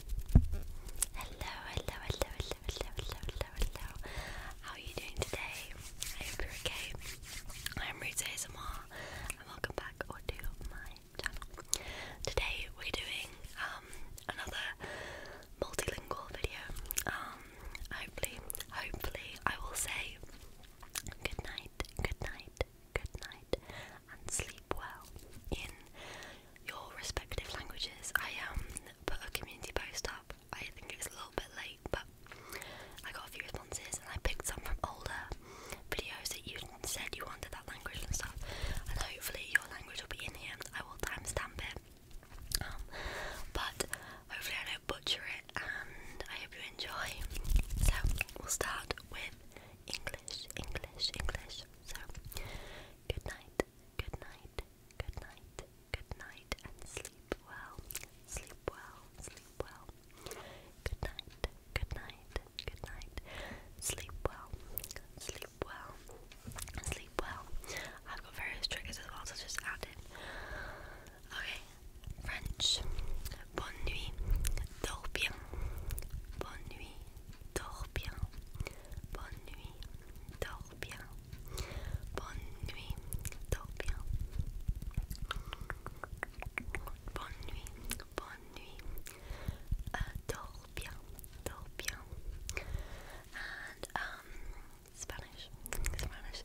Hello, hello, hello, hello, hello, hello, hello, hello. How are you doing today? I hope you're okay. I'm Ruth ASMR and welcome back to my channel. Today we're doing um another multilingual video. Um, hopefully hopefully I will say good night, good night, good night and sleep well in your respective languages. I um put a community post up. I think it's a little bit late, but I got a few responses and I picked some from older videos that you said you wanted that language and stuff. And hopefully your language will be in here. I will timestamp it. Um, but hopefully I don't butcher it and I hope you enjoy. So we'll start with English, English, English. So, good night, good night, good night, good night, and sleep well, sleep well, sleep well. Good night, good night, good night. Sleep well, sleep well, sleep well. I've got various triggers as well, so just add it. Okay, French. Bonne nuit, dors bien. Bonne nuit, dors bien, bonne nuit, dors bien, bonne nuit, dors bien, bonne nuit, bonne nuit, uh, bien, dors bien, um, Spanish, Spanish,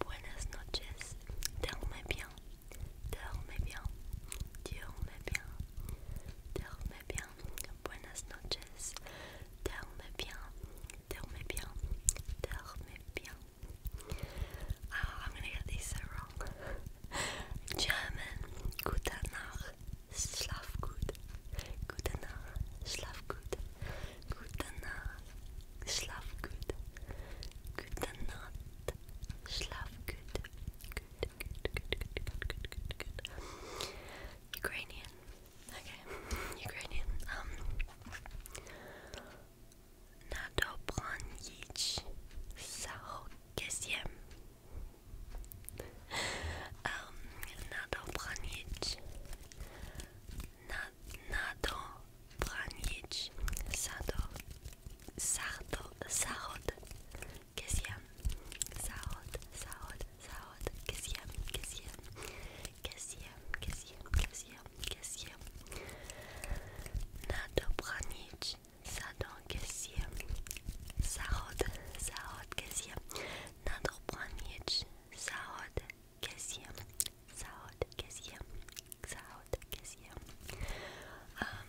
buenas noches, dorme bien, dorme bien, dorme bien. Duerme bien, buenas noches. Duerme bien, duerme bien, duerme bien. Oh, I'm gonna get these so wrong. German, gute Nacht, schlaf gut. Gute Nacht, schlaf gut. Gute Nacht, schlaf gut. Gute Nacht, schlaf gut. Gute good, good, Ukrainian. Okay, Ukrainian. Um Nadobranich Sarokesiem. Um Nadobranich. Nad Nado Branich Sado Sardo Sarod Kesiem, Saud, Saud, Saud, Kesiem, Kesiem, Kesiem, Kesiem, Kesiem, Kesiem. Nadobranic, Sadon, Kesiem, Saud, Saud, Kesiem, Nadobranic, Saud, Kesiem, Saud, Kesiem, Saud, Kesiem. Um,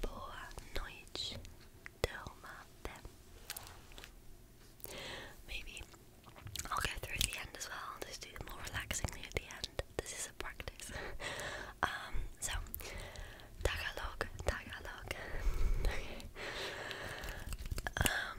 Boa noite, Doma. Maybe I'll go through the end as well. i just do it more relaxingly at the end. This is a practice. Um, so, Tagalog, Tagalog. okay. Um,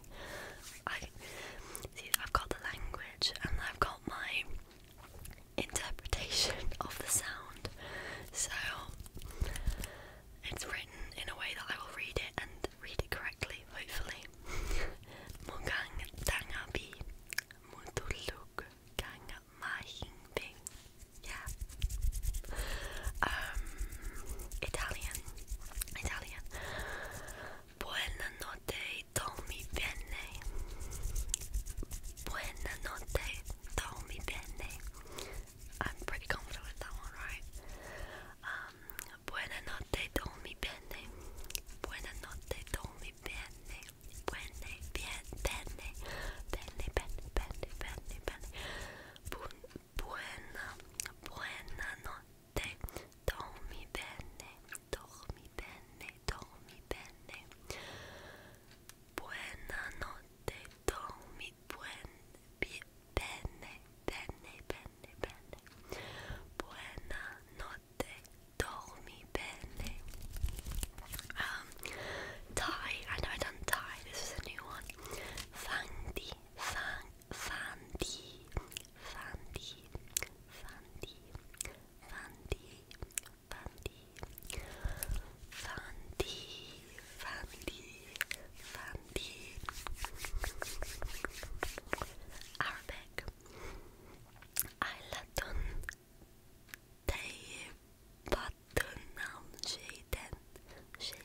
thing. I see. I've got the language, and I've got my interpretation of the sound. So it's written in a way that I will read it and read it correctly, hopefully. Mugang tangabi, mutuluk gang mahingbing. Yeah. Um, Italian. Italian Italian. Buonanotte, dormi bene. Buonanotte, dormi bene. I'm pretty confident with that one, right? Um, buonanotte, dormi bene. Buonanotte, dormi bene. Buone, bien, bene. Bene, bene, bene, bene, bene. Bu buena, buena notte bene, dormi bene, dormi bene, dormi bene. Buonanotte, dormi buen, bene, bene, bene, bene. Buonanotte, dormi bene. Um, Thai, I know I done Thai, this is a new one. Fang di, fang Fandi, Fandi, Fandi, Fandi, Fandi, Fandi, Fandi, Fandi, Arabic, Aylatun, Tayyibatun Nam Şeyden, Şeyden,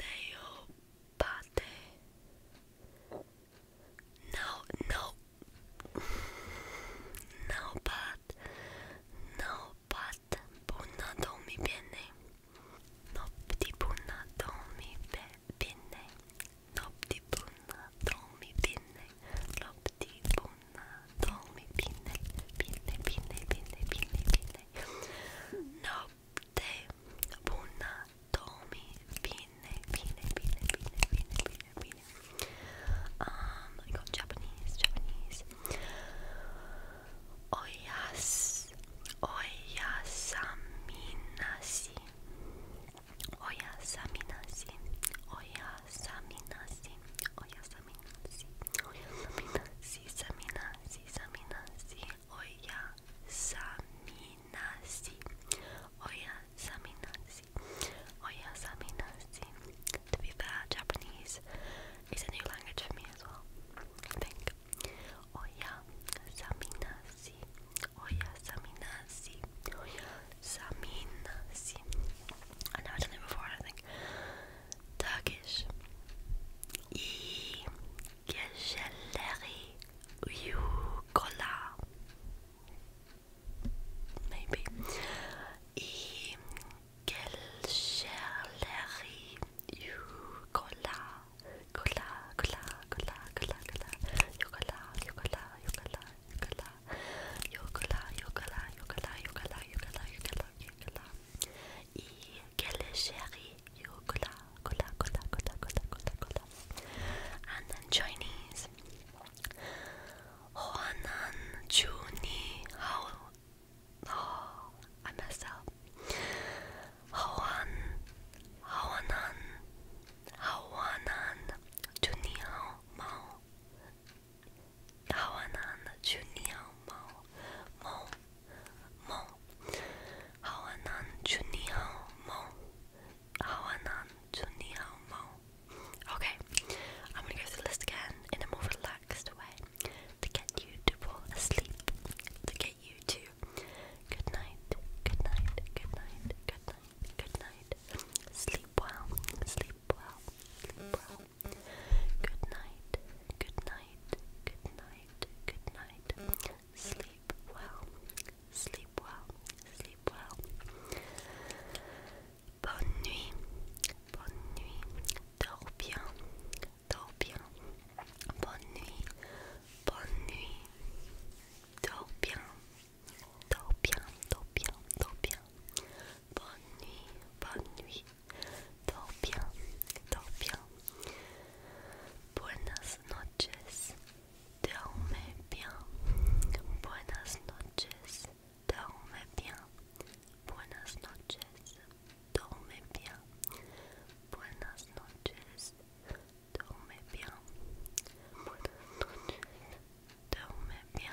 Neopate. No, no. No, but. No, but. Puna dormi bene. Nopti puna dormi bene. Nopti puna dormi bene. Nopti puna dormi bene. Bene, bene, bene, bene, bene. Notte una domi fine fine fine fine fine fine fine. Um I got Japanese, Japanese. Oyas Oyasaminasi Oyasaminasi Oyasaminasi Oyasaminasi Samina, si. Oya, Samina, si. Samina, Samina, si. Oya, Samina, si. Oya, Samina, si. Oya, Samina, si. To be fair, Japanese is a new language for me as well. I think. Oya, Samina, si. Oya, Samina, si. Oya, Samina, si. I know I've done it before, I think. Turkish. İyi geceleri uyu kola. Maybe. İyi geceleri uyu kola. Kola, kola, kola, kola, kola. Yokola, yokola, yokola, yokola. Yokola, yokola, yokola, yokola, yokola, yokola, Coca-Cola i Gelisheri Cola, Cola, Cola, Cola, Cola, Cola, Cola. And then Chinese. Hoanan oh, Chu Ni Hao. Oh, I messed up. Hoan, Hawanan, Hawanan, Chu Ni Hao Mao. Hawanan Juniao Mo Mo Mo Hawanan Juniao Mo Hawanan Juniao Mo Okay, I'm gonna go through the list again in a more relaxed way to get you to fall asleep, to get you to good night, good night, good night, good night, good night. Sleep well, sleep well, sleep well, Good night, good night, good night, good night. Sleep well, sleep well, sleep well. Bonne nuit, bonne nuit. Dors bien, dors bien. Bonne nuit, bonne nuit. Dors bien, dors bien, dors bien, dors bien bonne nuit, bonne nuit, dors bien, dors bien. Buenas noches, dorme bien, buenas noches, dorme bien, buenas noches, dorme bien, buenas noches, dorme bien, buenas noches, dorme bien.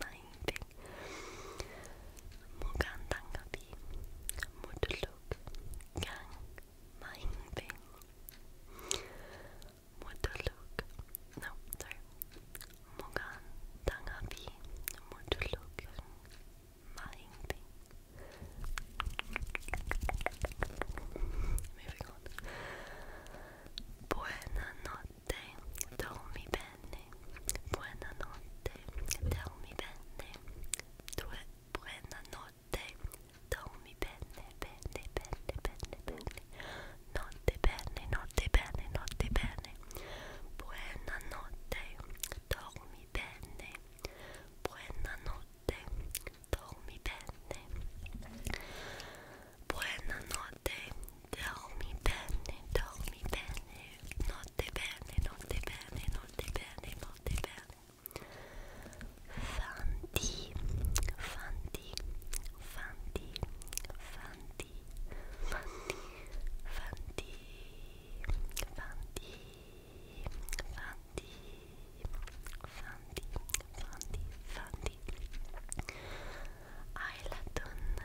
minding. Mugandangabi, Muduluk, Gang, Minding. Muduluk, no, sorry. Mugandangabi, Muduluk, Minding. Moving on. Buena notte dormi bene, buonanotte, dormi bene, due, buonanotte, dormi bene, bene, bene, bene, bene, notte bene, notte bene, notte bene, buonanotte, dormi bene, buonanotte, dormi bene, buonanotte, Dormi bene, dormi bene, notte bene, notte bene, notte bene, notte bene. Fanti, fanti, fanti, fanti, fanti, fanti, fanti, fanti, fanti, fanti, fanti.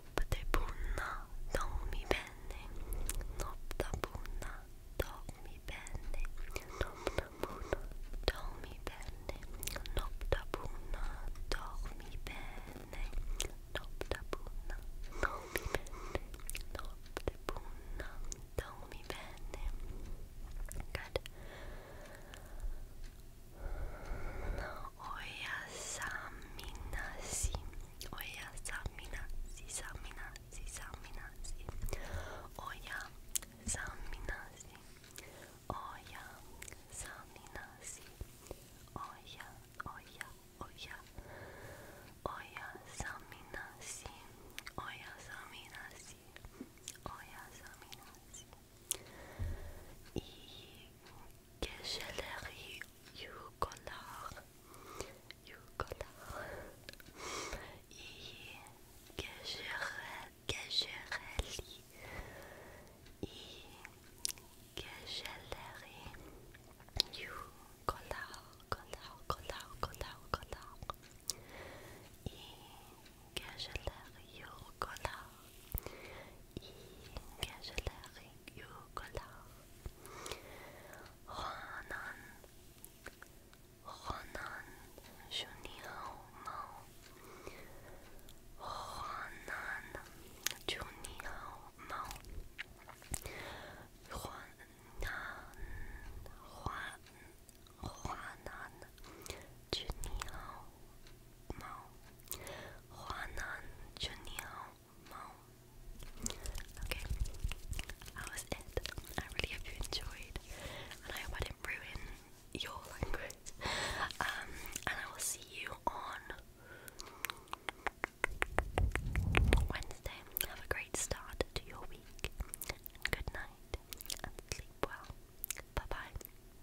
noppte punna, dormi bene, noppta punna, dormi bene, noppta punna, dormi bene, noppta punna, dormi bene, noppta punna, dormi bene, noppte punna, dormi bene. Good. Oyasaminasi, oyasaminasi, saminasi, saminasi, oyasaminasi, oyasaminasi, oya, oya, oya, oyasaminasi, oyasaminasi, oyasaminasi, geceleri uykular, uykular, iyi geceler, geceleri, iyi geceleri, uykular, uykular, uykular, uykular, uykular, iyi geceleri, collar in gazellering your collar Ronan Ronan Junior Mao Ronan Junior Mao Ronan Ronan Ronan Junior mão. Juanan Juniao mão. Okay, that was it. I really hope you enjoyed, and I hope I didn't ruin your language. Um, and I will see you on Wednesday. Have a great start to your week. Good night and sleep well. Bye bye.